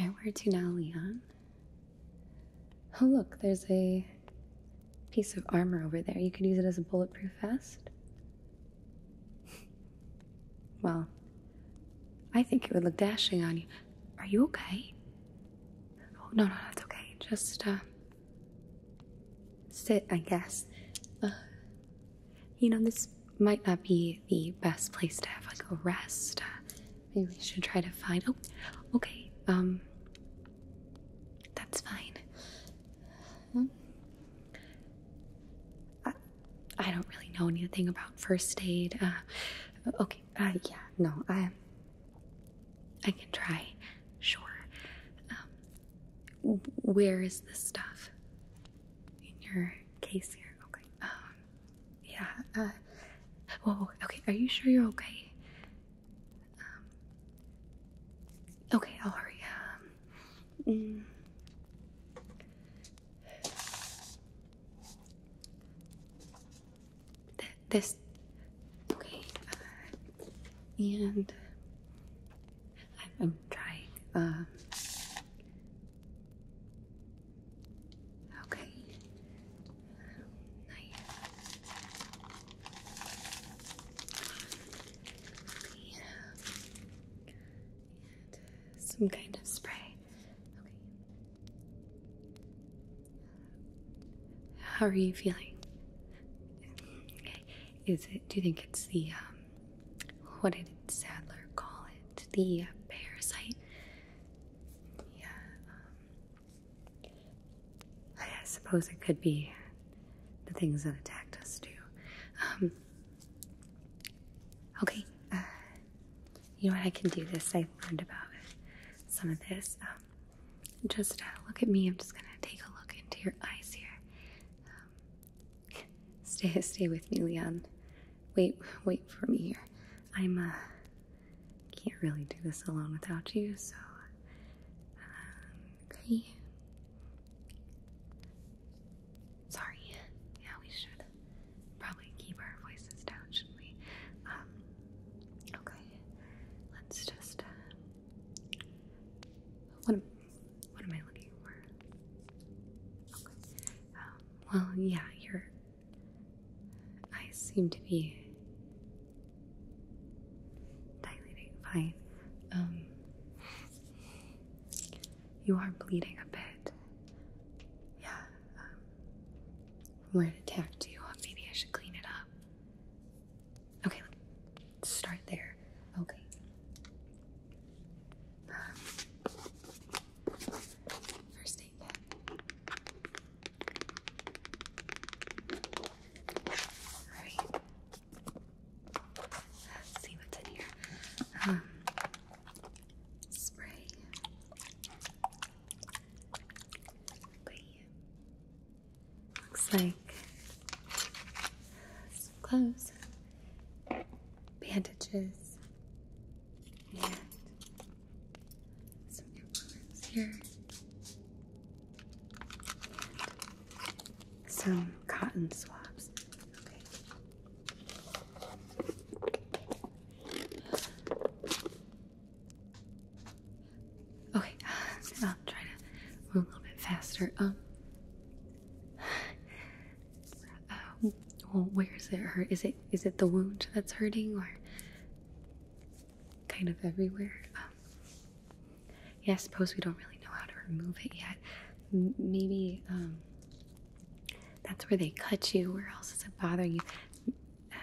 All right, where to now, Leon? Oh, look, there's a piece of armor over there. You could use it as a bulletproof vest. well, I think it would look dashing on you. Are you okay? Oh, no, no, it's okay. Just, uh, sit, I guess. Uh, you know, this might not be the best place to have like a rest. Uh, maybe we should try to find. Oh, okay. Um, that's fine. Um, I, don't really know anything about first aid. Uh, okay. Uh, yeah. No, I. I can try. Sure. Um, where is the stuff in your case here? Okay. Um, yeah, uh, whoa, okay, are you sure you're okay? Um, okay, I'll hurry. Um, mm. this, okay, uh, and I'm, I'm trying, um, Okay. Nice. some kind of spray. Okay. How are you feeling? Okay. Is it? Do you think it's the um? What did Sadler call it? to the parasite. Yeah, um, I suppose it could be the things that attacked us too. Um, okay, uh, you know what? I can do this. I have learned about some of this. Um, just uh, look at me. I'm just gonna take a look into your eyes here. stay, stay with me, Leon. Wait, wait for me here. I'm, uh, can't really do this alone without you, so, um, okay. Sorry. Yeah, we should probably keep our voices down, shouldn't we? Um, okay. Let's just, uh, what am, what am I looking for? Okay. Um, well, yeah, you're. I seem to be dilating fine. Um, you are bleeding a bit. Yeah. Um, where it attacked you, oh, maybe I should clean it up. Okay, let's start there. Okay. Um, First aid kit. Alright. Let's see what's in here. Um, spray. Okay. Looks like some clothes, bandages, and some implements here, some cotton swabs. Okay. Okay, uh, I'll try to move a little bit faster. Um, Oh, well, where is it hurt? Is it is it the wound that's hurting, or kind of everywhere? Um, yeah, I suppose we don't really know how to remove it yet. maybe um, that's where they cut you. Where else is it bothering you? I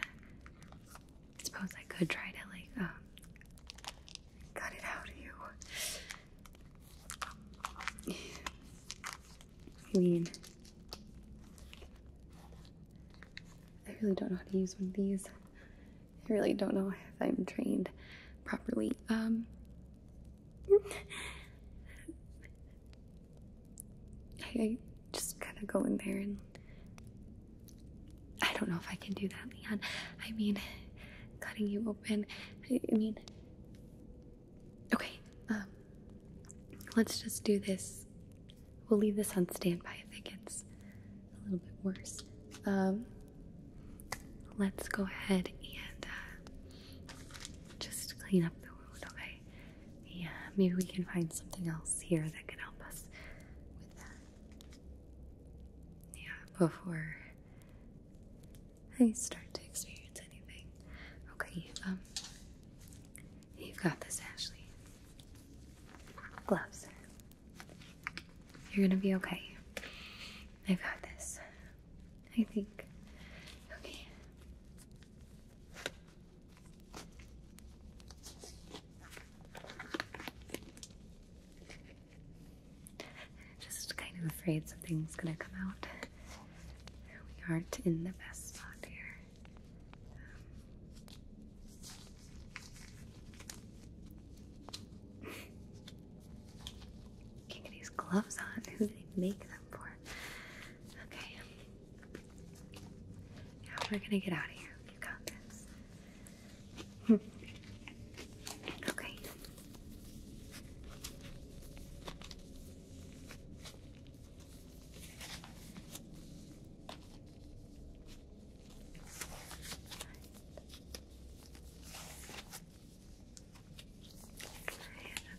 suppose I could try to like um, cut it out of you. I mean, I really don't know how to use one of these. I really don't know if I'm trained properly. Um, I just kind of go in there and I don't know if I can do that, Leon. I mean, cutting you open. I, I mean, Okay, um, let's just do this. We'll leave this on standby if it gets a little bit worse. Um, let's go ahead and uh, just clean up the wound, okay? Yeah, maybe we can find something else here that can help us Yeah, before I start to experience anything. Okay, um, You've got this, Ashley. Gloves. You're gonna be okay. I've got this. I think. Okay. Just kind of afraid something's gonna come out. We aren't in the best spot here. Um, can't get these gloves on. Who do they make them for? Okay. Now yeah, we're gonna get out of here. You got this. okay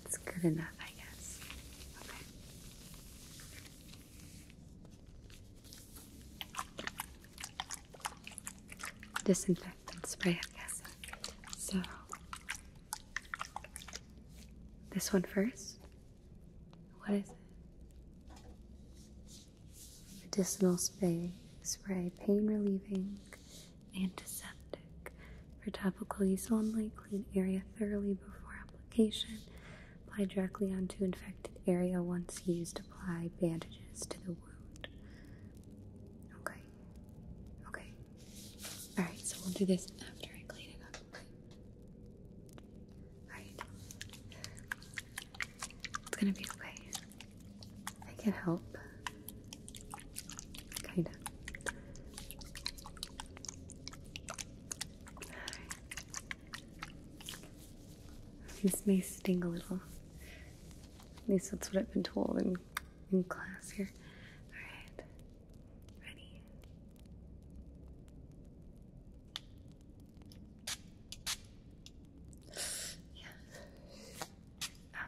that's good enough, I guess. Disinfectant spray, I guess. So this one first? What is it? Medicinal spray, spray pain relieving, antiseptic. For topical use only, clean area thoroughly before application. Apply directly onto infected area once used. Apply bandages to the wound. Okay. Okay. Alright, so we'll do this after I clean it up. Alright. It's gonna be okay. I can help. Kinda. This may sting a little. At least that's what I've been told in, in class here. Alright. Ready? Yeah. Ah.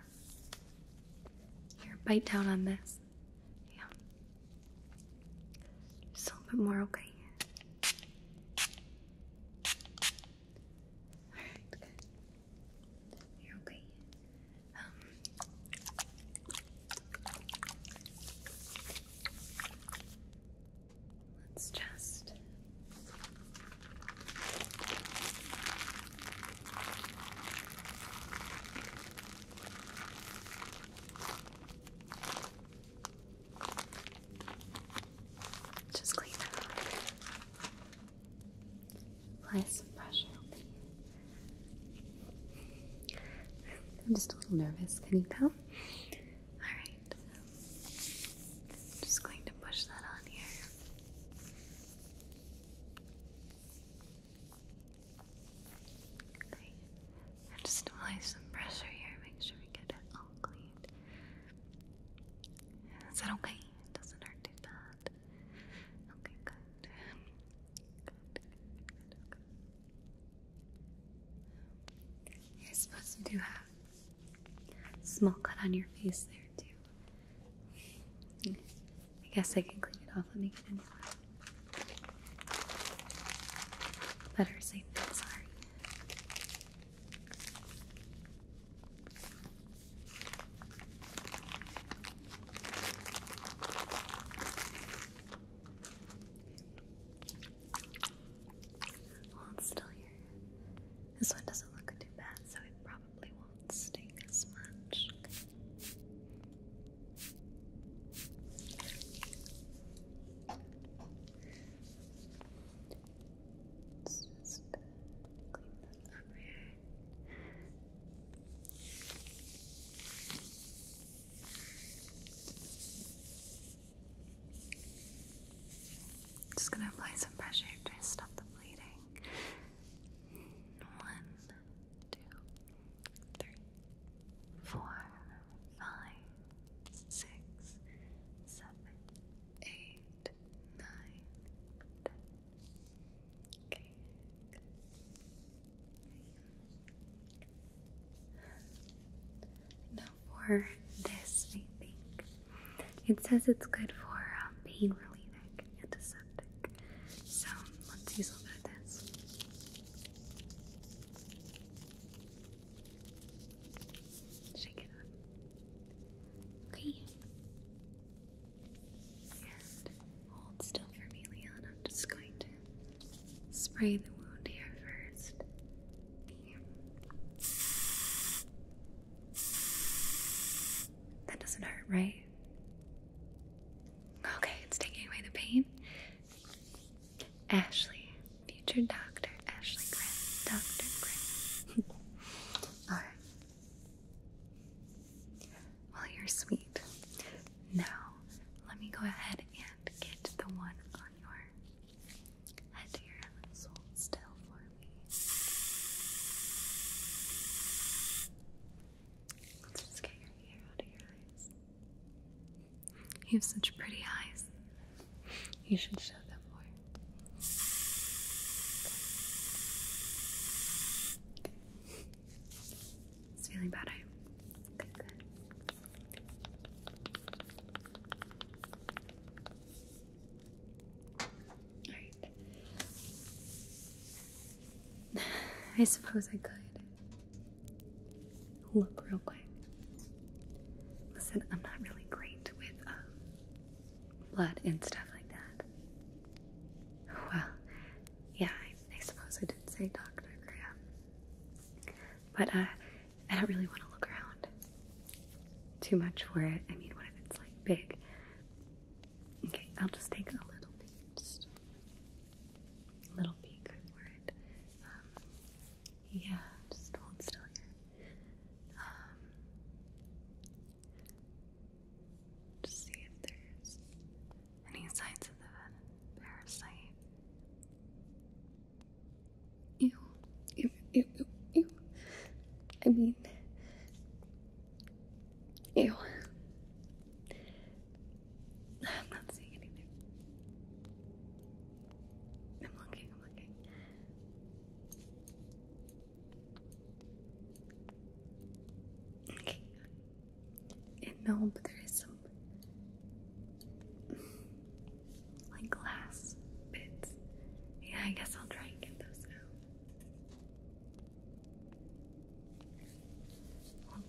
Here, bite down on this. Yeah. Just a little bit more, okay? Alright, good. You're okay. Let's just just clean it up. Apply some pressure over here. I'm just a little nervous. Can you tell? All just going to push that on here. Okay. just applying some pressure here. Make sure we get it all cleaned. Is that okay? It doesn't hurt too bad. Okay, good. You're supposed to have a small cut on your face there too. I guess I can clean it off. Let me get a new one. Better safe than sorry. Well, it's still here. This one doesn't look too bad, so it probably won't sting as much. just clean that up just gonna apply some pressure to stop the bleeding. One, two, three, four, five, six, seven, eight, nine, ten. Okay for this, I think it says it's good for um, pain relief, antiseptic. So let's use a little bit of this. Shake it up. Okay. Hold still for me, Leon. I'm just going to spray the wound here first. That doesn't hurt, right? Okay, it's taking away the pain. Ashley, future doctor, Ashley Grimm, Dr. Grimm. Alright. Well, you're sweet. Now, let me go ahead and get the one on your head here. Let's hold still for me. Let's just get your hair out of your eyes. You have such pretty eyes. You should show them more. It's feeling better. Good, good. All right. I suppose I could look real quick. Listen, I'm not really great with um, blood and stuff like that. Well, yeah, I, suppose I did say Dr. Graham. But uh, I don't really want to look around too much for it. I mean, what if it's like big? Okay, I'll just take a little bit. Just a little peek for it. Um, yeah, just hold still here. Um, just see if there's any signs of the parasite? Ew. Ew, ew, ew, ew. I mean, ew. I'm not seeing anything. I'm looking, I'm looking. Okay. And no, but there is some like glass bits. Yeah, I guess I'll try and get those out.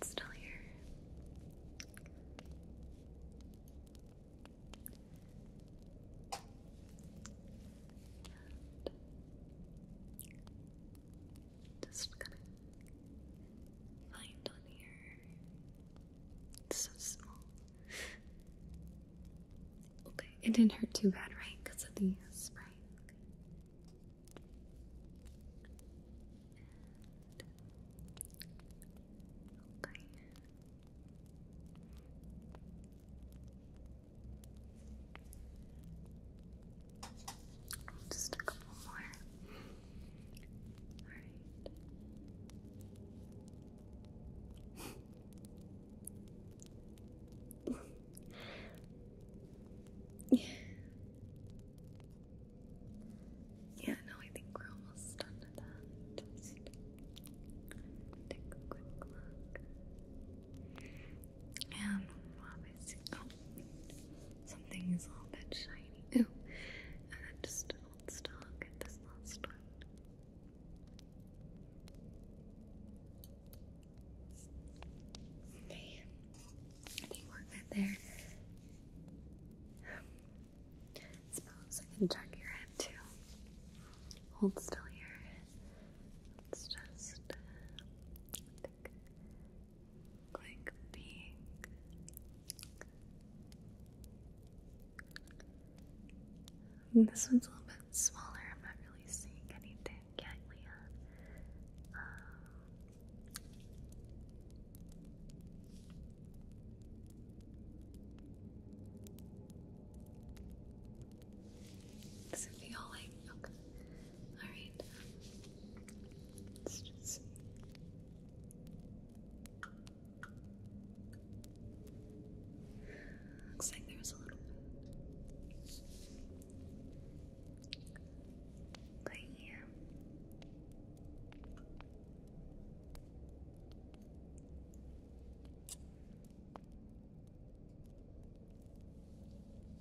still here. Just gonna find on here. It's so small. Okay, it didn't hurt too bad, right? Because of the spray. okay. Just a couple more. All right. Yeah, no, I think we're almost done with that. take a quick look. Oh, something is a little bit shiny. Ooh, and then just hold still. get this last one. Okay, I think we're good there. suppose I can tuck your head too. Hold still here. Let's just. Uh, Click pink. this one's a little bit smaller. I'm not really seeing anything yet, Leah. Um, does it feel okay? All right. Let's just see. Looks like there was a little bit. But yeah. Okay.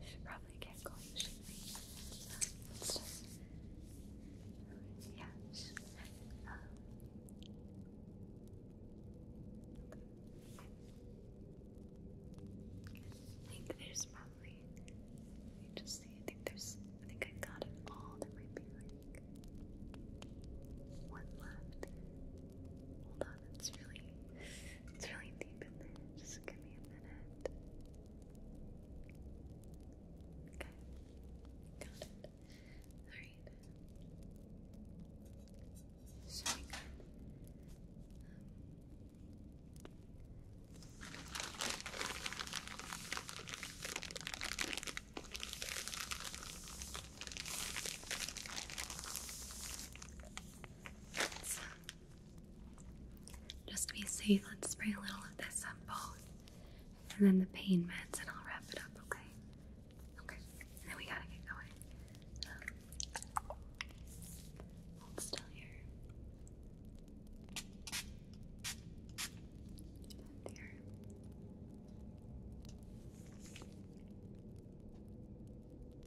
we should probably get going, should we? Um, yeah. Um, I think there's probably. Let me just see. I think there's. I think I got it all. There might be like one left on, it's really, it's really deep in there. Just give me a minute. Okay, got it. All right. So we got. Um, just to be safe, let's spray a little of this on both. And then the pain meds, and I'll wrap it up, okay? Okay, and we gotta get going. still here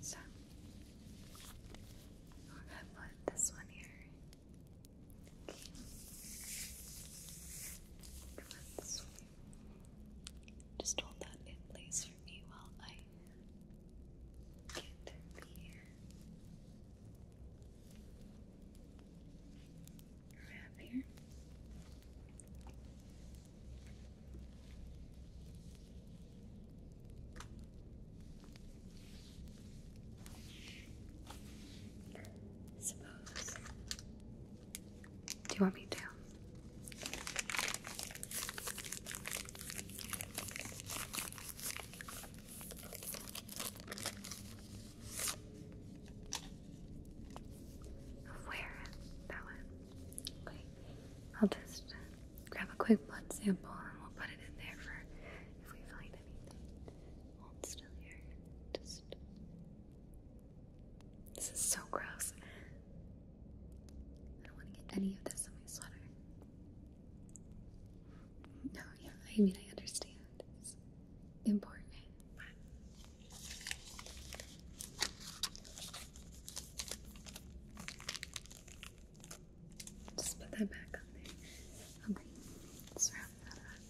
So, I'll have one, this one here. Just hold that in place for me while I get here. Suppose. Do you want me to? where that went. I'll just grab a quick blood sample and we'll put it in there for if we find anything. i Hold still here. This is so gross. I don't want to get any of this on my sweater. No, yeah, I mean, I understand. It's important, but just put that back on Okay, wrap that up.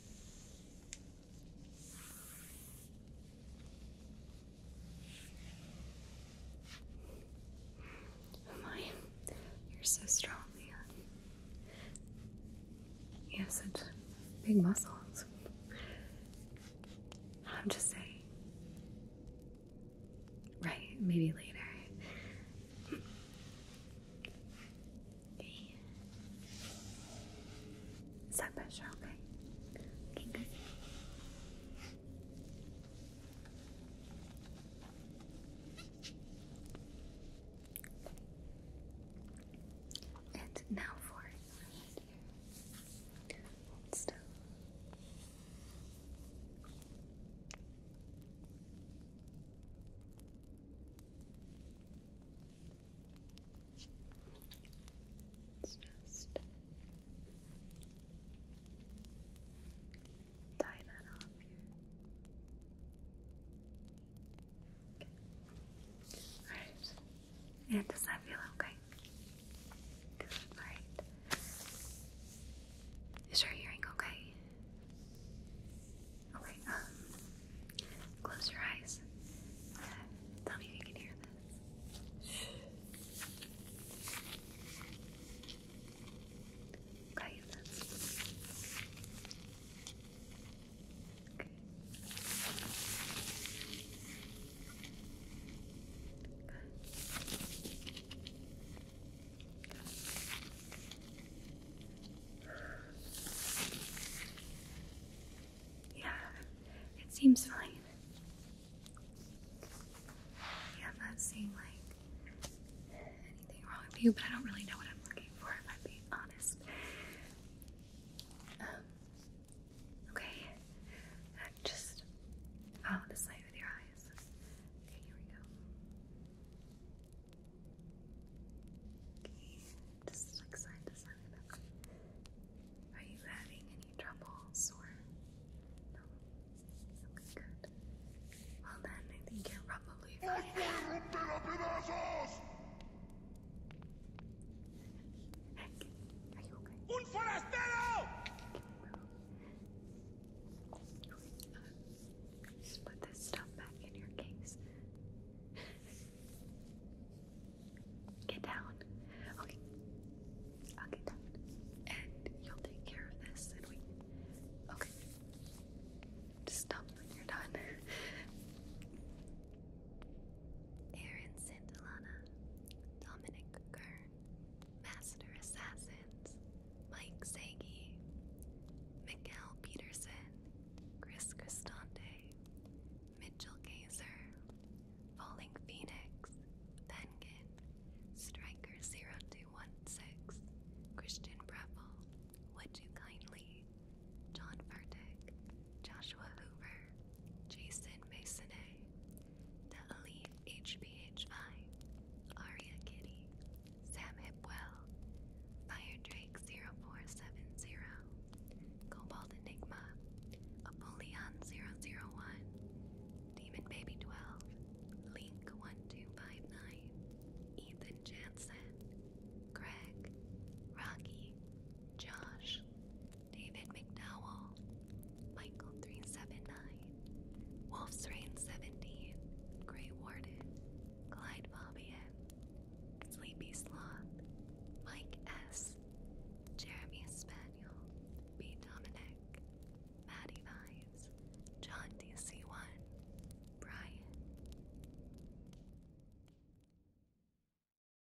Oh my, you're so strong, man. You have such big muscles. I'm just saying. Right, maybe later. Okay. pressure Okay, good. And now for here. Hold still. just tie that off here. Okay. Alright. And does that feel okay? All right. Is your hearing okay? Okay. Um, close your eyes. Uh, tell me you can hear this. Okay. Yeah, it seems fine. Yeah, I'm not seeing like anything wrong with you, but I don't really know what I'm looking for if I'm being honest. Um, Okay, just follow oh, this light with your eyes. Okay, here we go. Okay, just like side to side. Are you having any troubles or no? Okay, good. Well then, I think you're probably ¡Un forastero! put this stuff back in your case. Get down. Okay. I'll get down. And you'll take care of this and we. Okay. Just stop when you're done. Aaron's Santillana, Dominic Kern, Master Assassins, Mike Sagi, Mikkel Peterson, Chris Cristante, Mitchell Gazer, Falling Phoenix, Penguin, Striker0216, Christian Breville, Would You Kindly, John Furtick, Joshua Hoover, Jason Masonay, The Elite HBHI, Kitty, Sam Hipwell, Fire Drake 0470, Cobalt Enigma, Apollyon 001, Demon Baby 12, Link 1259, Ethan Jansen, Craig, Rocky, Josh, David McDowell, Michael 379, Wolf's Rain 17, Grey Warden, Clyde Fabian, Sleepy Sloth, Mike S., Jeremy Spaniel, B. Dominic, Maddie Vines, John DC1, Brian.